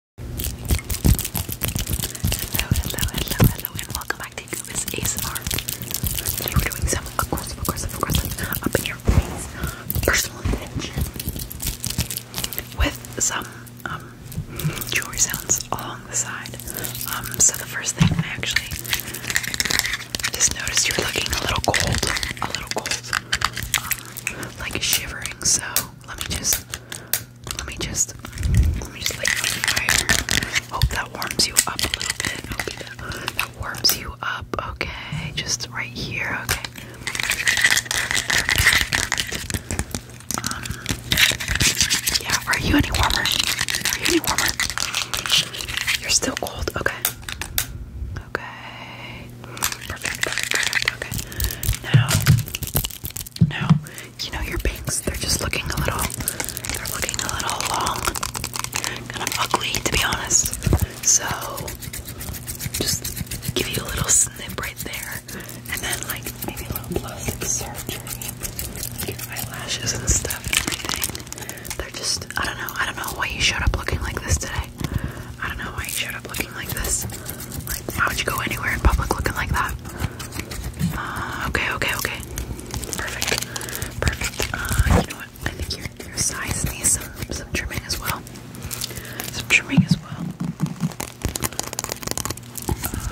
Hello, hello, hello, hello, and welcome back to Gooba's ASMR. Today we're doing some aggressive, aggressive, aggressive, up in your personal attention with some um, jewelry sounds along the side. Um, so the first thing I actually just noticed you're looking a little cold, a little cold, um, like shivering. So let me just let me just let me just light my fire. Hope that warms you up a little bit. warms you up. Okay, just right here. Okay. Um, yeah. Are you any warmer? Are you any warmer? You're still cold. Okay. Okay. Perfect. Perfect. Okay. Now now, you know your pinks, they're just looking a little, they're looking a little long, kind of ugly to be honest. So, just give you a little snip right there, and then like maybe a little plastic surgery, your eyelashes and stuff and everything. They're just, I don't know, I don't know why you showed up looking like this today. I don't know why you showed up looking like this. Like, why would you go anywhere in public looking like that? Uh, okay, okay, okay. Perfect. Perfect. Uh, you know what? I think your, your size needs some, some trimming as well. Some trimming as well.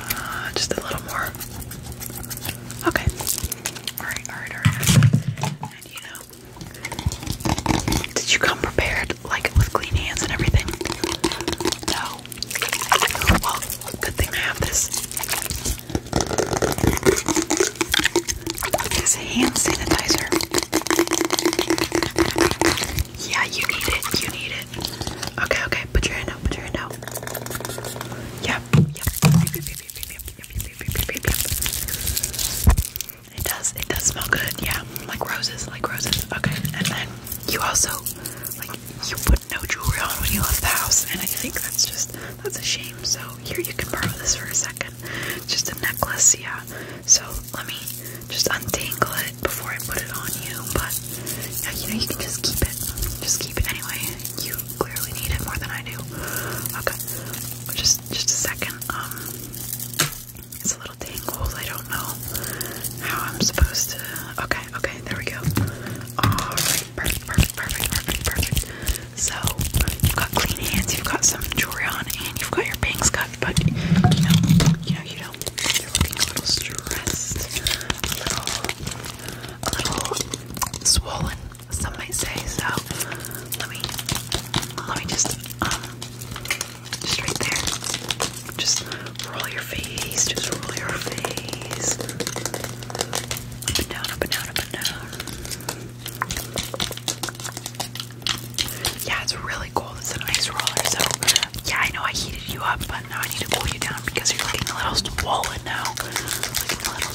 Uh, just a little more. Okay. Alright, alright, alright. And you know, did you come prepared? good, like with clean hands and everything. So, well, good thing I have this. This hand sanitizer. Yeah, you need it. You need it. Okay, okay. Put your hand out. Put your hand out. Yep. Yep. It does. It does smell good. Yeah, like roses, like roses. Okay, and then you also like you put no jewelry on when you left the house, and I think that's just that's a shame. So here you can borrow this for a second. Just a necklace, yeah. So let me just untangle it before I put it on you. But yeah, you know you can just keep it. Just keep it anyway. You clearly need it more than I do. Okay, just just a second. Um. It's a little tangled. I don't know how I'm supposed to. Okay, okay, there we go. Alright, perfect, perfect, perfect, perfect, perfect. So, you've got clean hands, you've got some jewelry and you've got your bangs cut, but you know, you know, you don't. You're looking a little stressed, a little, a little swollen, some might say. So, let me, let me just, um, just right there. Just roll your face. Just roll your face. Up and down, up and down, up and down. Yeah, it's really cold. It's a nice roller. So, yeah, I know I heated you up, but now I need to cool you down because you're looking a little swollen now. Looking a little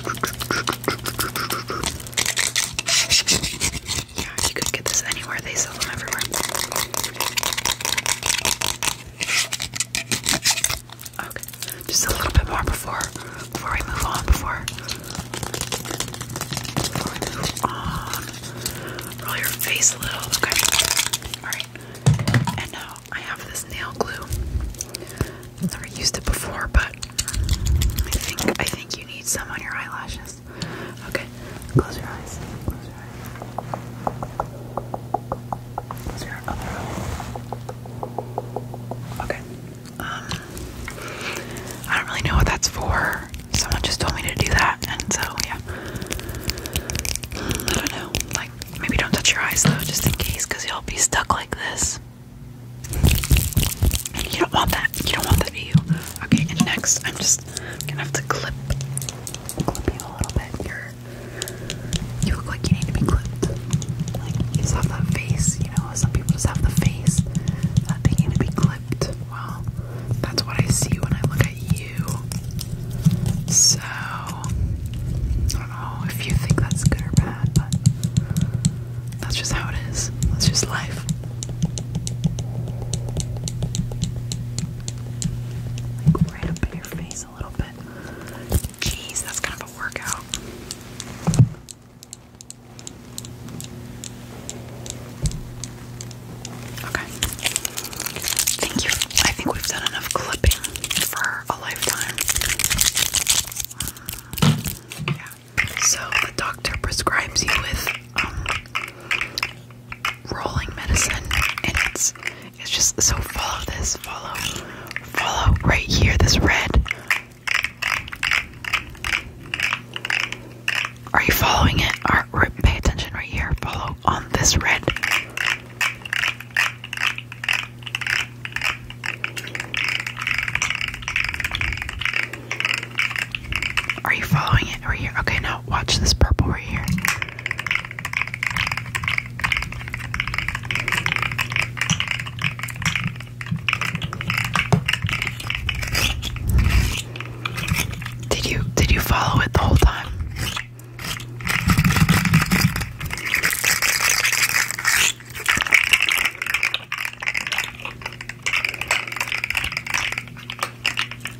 swollen. Okay, okay, okay, okay. Yeah, you could get this anywhere, they sell them everywhere. Okay, just a little bit more before before we move on, before before we move on. Roll your face a little, okay. Alright. And now I have this nail glue i never used it before, but I think I think you need some on your eyelashes. Okay, close your eyes. Close your eyes. Okay. Um, I don't really know what that's for. Someone just told me to do that, and so yeah. I don't know. Like maybe don't touch your eyes though, just in case, because you'll be stuck like this. You don't want that. You don't want that, do you? Okay, and next I'm just gonna have to clip clip you a little bit. you you look like you need to be clipped. Like you just have that face, you know, some people just have the face that they need to be clipped. Well, that's what I see when I look at you. So don't know if you think that's good or bad, but that's just how it is. That's just life. right up in your face a little bit. Jeez, that's kind of a workout. Okay. Thank you. I think we've done enough clipping for a lifetime. So the doctor prescribes you with um, rolling medicine, and it's it's just so follow this, follow, follow right here. This red. Are you following it? Or, pay attention right here. Follow on this red. Are you following it right here? Okay, now watch this purple right here. Did you did you follow it the whole time?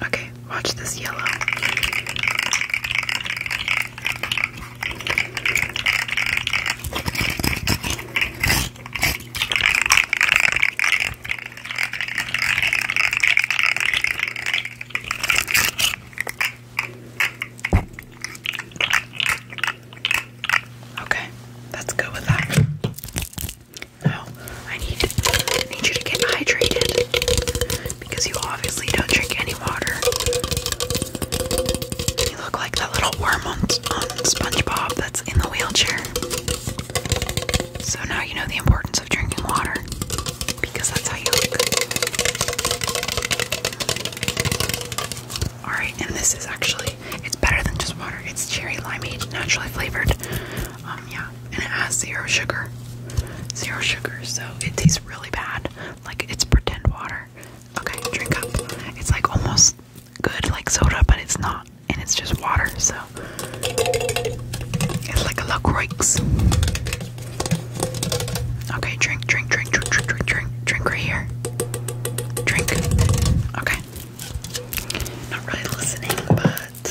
Okay, watch this yellow. Okay, let's with that. Now, I need need you to get hydrated because you obviously don't drink any water. You look like that little worm on SpongeBob that's in the wheelchair. So now you know the importance of drinking water because that's how you look. Alright, and this is actually, it's better than just water. It's cherry limeade, naturally flavored. Um, yeah, and it has zero sugar. Zero sugar, so it tastes really bad. Like, it's pretend water. Okay, drink up. It's like almost good, like soda, but it's not. And it's just water, so. It's like a La Croix. Okay, drink, drink, drink, drink, drink, drink, drink, drink right here. Drink. Okay. Not really listening, but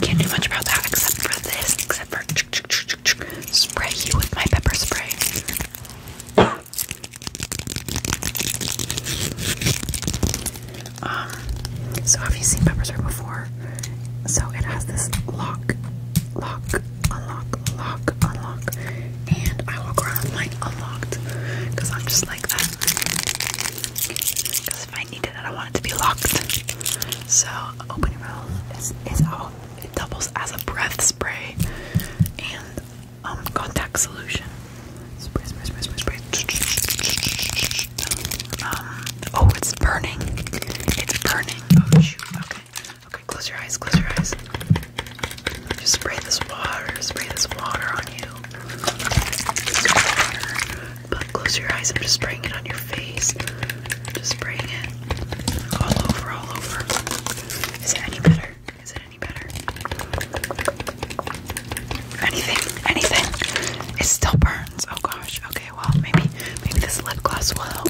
can't do much about that except for this, except for ch -ch -ch -ch spray you with my pepper spray. Um, so have you seen pepper spray before? So it has this lock, lock, unlock, lock, unlock, and I walk around with mine unlocked because I'm just like that. Because if I needed it, I want it to be locked. So, opening roll is, is out. It doubles as a breath spray and um, contact solution. Spray, spray, spray, spray, spray. Um, oh, it's burning. It's burning okay. Okay, close your eyes, close your eyes. Just spray this water, spray this water on you. But close your eyes, I'm just spraying it on your face. Just spraying it all over, all over. Is it any better? Is it any better? Anything, anything. It still burns. Oh gosh, okay. Okay, well maybe maybe this lip gloss will help.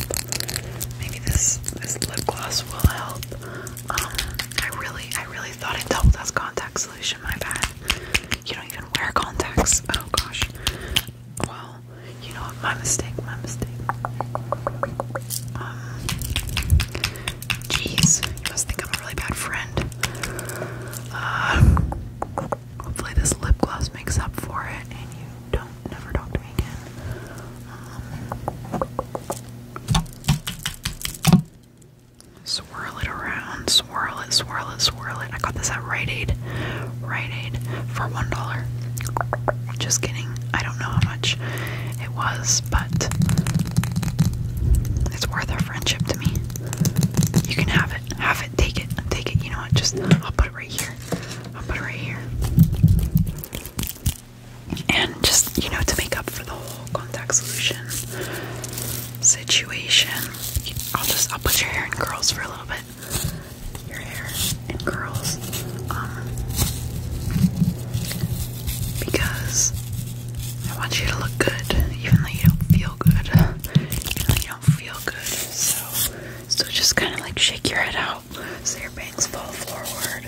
Maybe this this lip gloss will help. Um, I really I really thought it doubled as contact solution. My bad. You don't even wear contacts. Oh gosh. Well, you know what? My mistake. My mistake. Jeez, um, you must think I'm a really bad friend. Um, Hopefully this lip gloss makes up for it and you don't never talk to me again. Um, swirl it around, swirl it, swirl it, swirl it. I got this at Rite Aid. Rite Aid for one dollar. Just kidding. I don't know how much it was, but it's worth our friendship to me. You can have it. Have it. Take it. Take it. You know what? Just I'll put it right here. I'll put it right here. And just, you know, to make up for the whole contact solution situation, I'll just, I'll put your hair in curls for a little bit. Your hair in curls. Um, because I want you to look good, even though you don't feel good. you don't feel good. So, so just kind of like shake your head out so your bangs fall forward.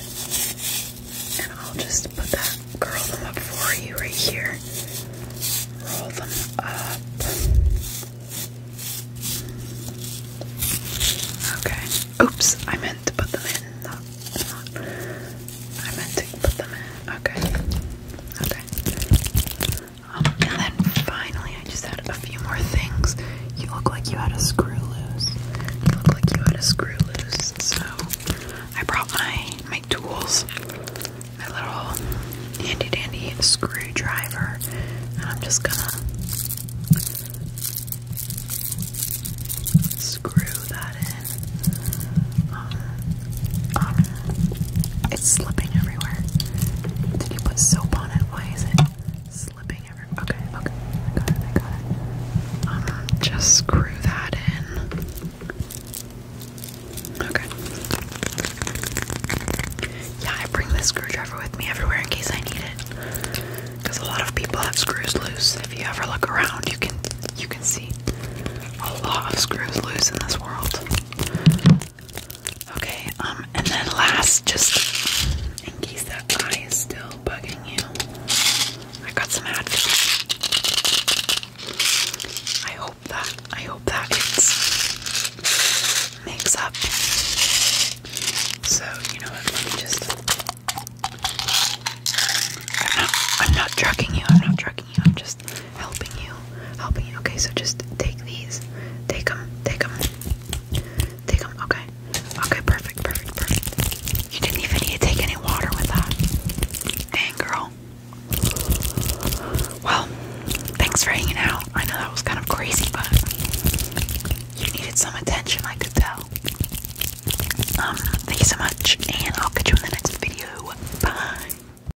And I'll just put that, curl them up for you right here. Roll them up. Okay. Oops, I meant to put them in. Not, I meant to put them in. Okay. Okay. Um, and then finally, I just had a few more things. You look like you had a screw loose. You look like you had a screw loose. So I brought my my tools, my little handy dandy screwdriver, and I'm just gonna screw that in. Um, um, it's slipping everywhere. Did you put soap on it? Why is it slipping everywhere? Okay, okay. I got it, I got it. Uh, just screw that in. Okay. Yeah, I bring this screwdriver with me everywhere in case I need it. Because a lot of people have screws loose. If you ever look around, you can you can see a lot of screws loose in this world. Okay, um, and then last, just in case that eye is still bugging you, I got some Advil. I hope that I hope that it makes up. So you know Let me just. I'm not. I'm not drugging you. I'm not drugging you. I'm just just helping you, helping you. Okay, so just take these, take them, take them, take them. Okay, okay, perfect, perfect, perfect. You didn't even need to take any water with that, dang girl. Well, thanks for hanging out. I know that was kind of crazy, but you needed some attention, I could tell. Um, thank you so much, and I'll catch you in the next video. Bye.